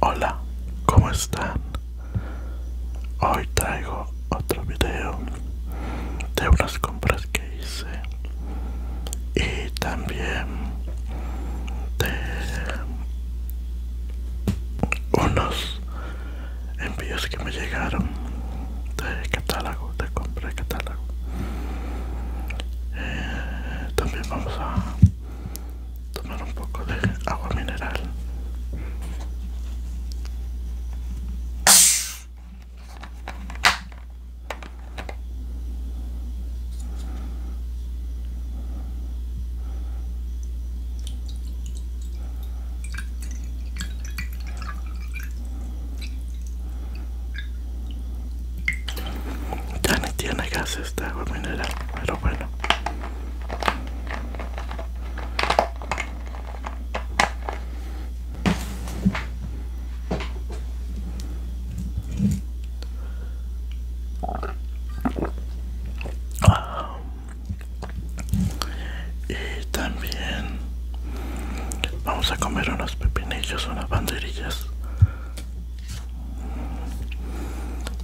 Hola, ¿cómo están? Hoy traigo otro video de unas compras que hice y también de unos envíos que me llegaron de catálogo, de compra de catálogo. Eh, también vamos a tomar un poco de agua mineral. Ya ni tiene gas esta agua mineral, pero bueno. Y también vamos a comer unos pepinillos, unas banderillas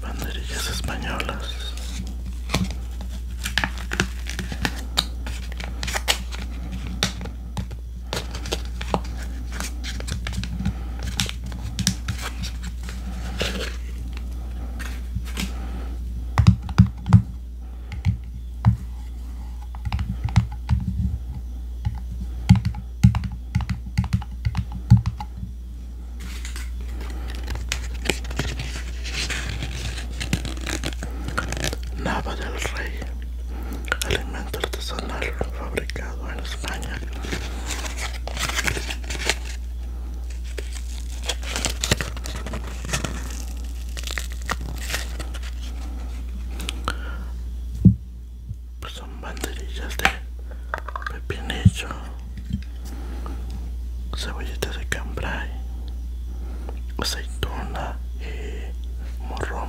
banderillas españolas Nava del Rey, alimento artesanal fabricado en España pues son banderillas de pepinillo, cebollitas de cambray, aceituna y eh, morrón.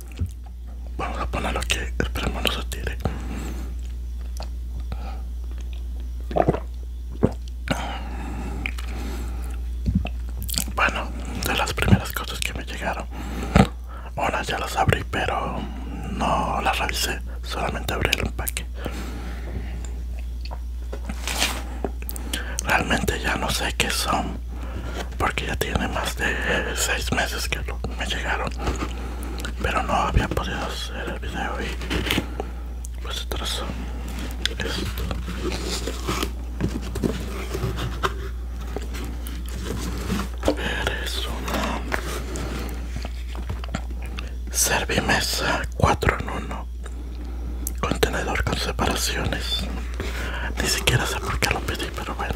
Vamos a ponerlo que esperemos no se tire. Bueno, de las primeras cosas que me llegaron, Ahora ya las abrí, pero no las revisé, solamente abrí el empaque. Realmente ya no sé qué son porque ya tiene más de 6 meses que me llegaron pero no había podido hacer el video y pues trazo esto es una servimesa 4 en 1 contenedor con separaciones ni siquiera sé por qué lo pedí pero bueno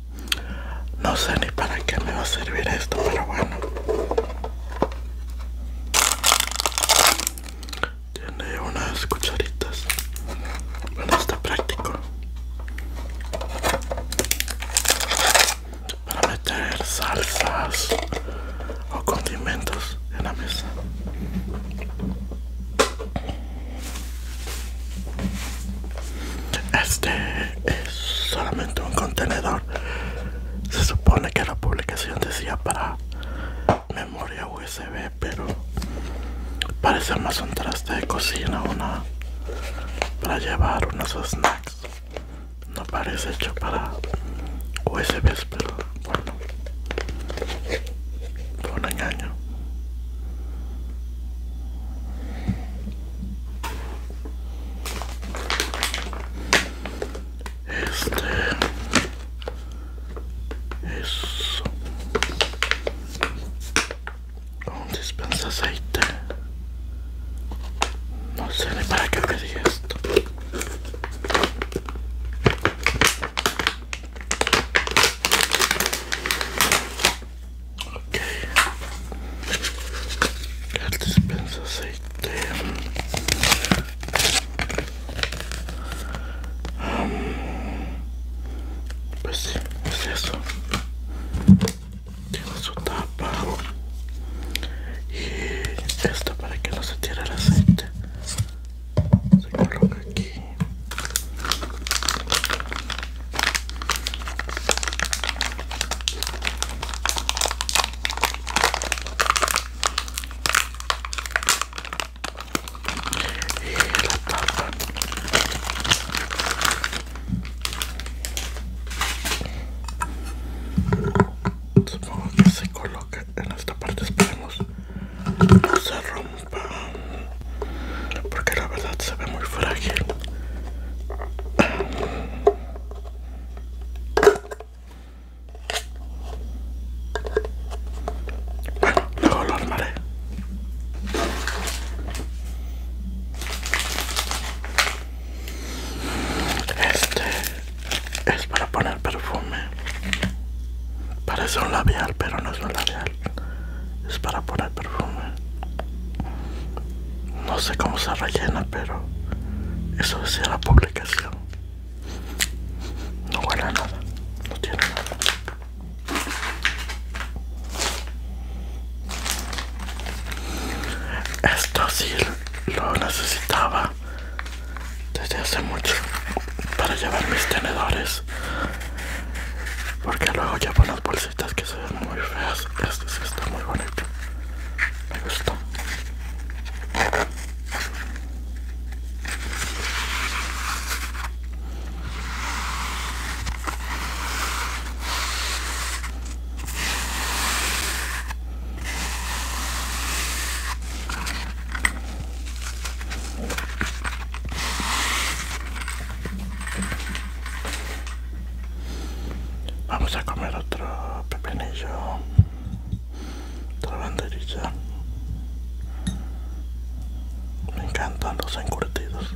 No sé ni para qué me va a servir esto, pero bueno. Tiene unas cucharitas. Bueno, está práctico. Para meter salsas o condimentos en la mesa. Este es solamente un contenedor. Se supone que la publicación decía para memoria USB, pero parece más un traste de cocina, una para llevar unos snacks. No parece hecho para USBs, pero bueno, fue un engaño. Este. Eso. Un dispensa aceite. No sé ni para qué es esto ok el dispensa aceite pues sí, pues pues es eso tiene su tapa y esto para que no se tire el aceite se coloca aquí la tapa supongo que se coloca en esta parte esperemos no se rompa porque la verdad se ve muy frágil bueno, luego lo armaré. Este es para poner perfume. Parece un labial, pero no es un labial. Es para poner perfume no sé cómo se rellena pero eso decía la publicación no huele nada no tiene nada esto sí lo necesitaba desde hace mucho para llevar mis tenedores porque luego llevo bolsillos. Estas que se ven muy feas. Este sí está muy bonito. Me gustó. Vamos a comer otro pepinillo, otra banderilla. Me encantan los encurtidos.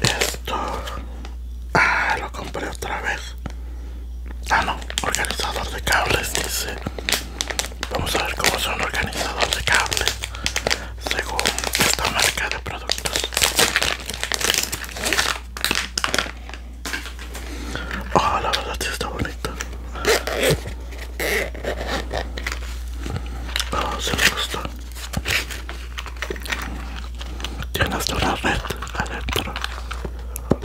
Esto ah, lo compré otra vez Ah, no, organizador de cables, dice. Vamos a ver cómo son organizadores de cables según esta marca de productos. Oh, la verdad si está bonito. Oh, se me gusta Tiene hasta una red Electro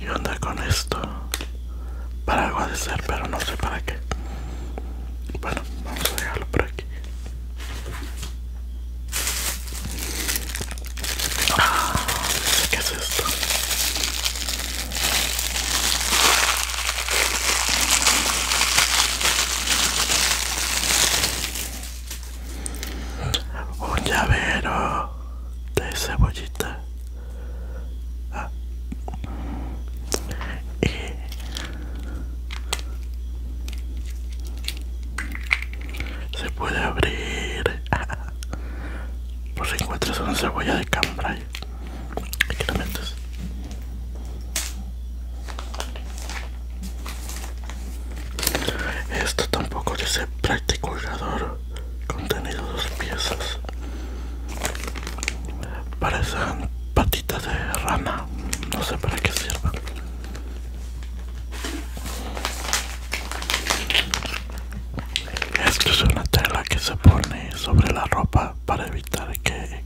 ¿Y onda con esto? Para algo ser, pero no sé para qué. Bueno, vamos a dejarlo por aquí. Ah, ¿Qué es esto? Un llavero de cebollita. Ah. se puede abrir por si encuentras una cebolla de cambray aquí la metes esto tampoco dice practiculador contenido dos piezas parecen patitas de rana no sé para qué sirven esto es una tela que se pone sobre la ropa para evitar que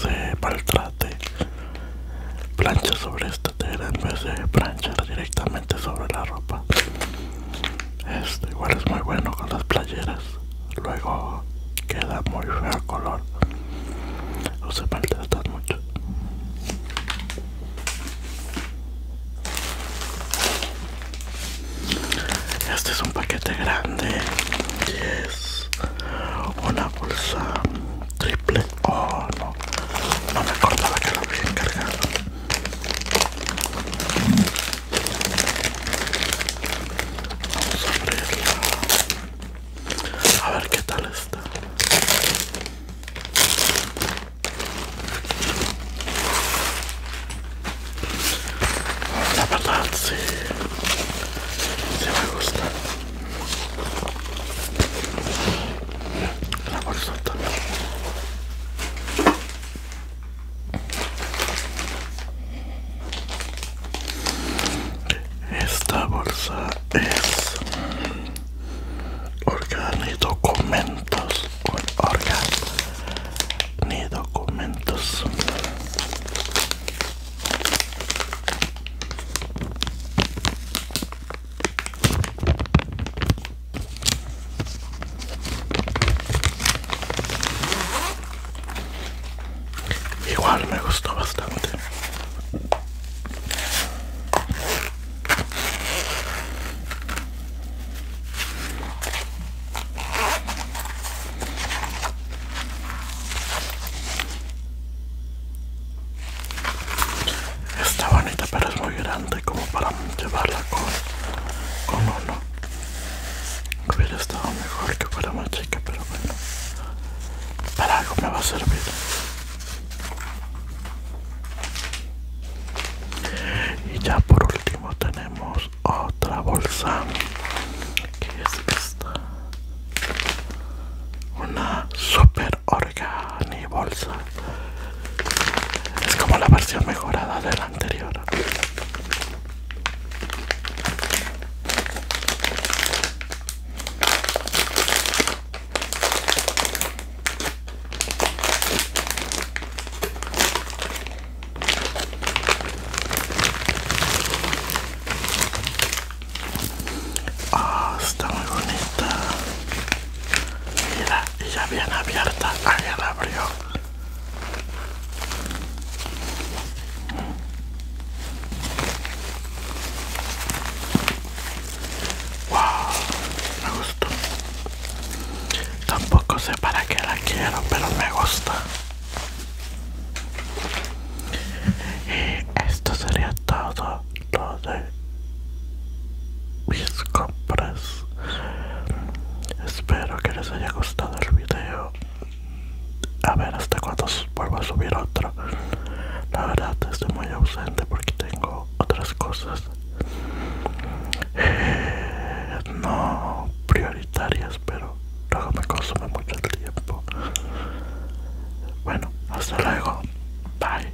se maltrate plancha sobre esta tela en vez de plancha directamente sobre la ropa. Esto igual es muy bueno con las playeras. Luego queda muy feo el color. No se maltratan mucho. Este es un paquete grande y es una bolsa triple. Oh no, no me acordaba que lo había encargado. Vamos a abrirla. A ver qué tal está. La verdad sí, sí me gusta la Esta bolsa es y documentos Organ ni documentos Igual me gustó bastante. Está bonita, pero es muy grande como para llevarla con, uno. Hubiera estado mejor que fuera más chica, pero bueno. Para algo me va a servir. Y ya por último tenemos otra bolsa. Que es esta. Una super organi bolsa es como la versión mejorada de la anterior. Ah, está muy bonita. Mira, y ya bien abierta, ahí la abrió. Wow, me gustó. Tampoco sé para qué la quiero, pero me gusta. Y esto sería todo, todo mis compras espero que les haya gustado el video a ver hasta cuándo vuelvo a subir otro la verdad estoy muy ausente porque tengo otras cosas eh, no prioritarias pero luego me consume mucho el tiempo bueno hasta luego bye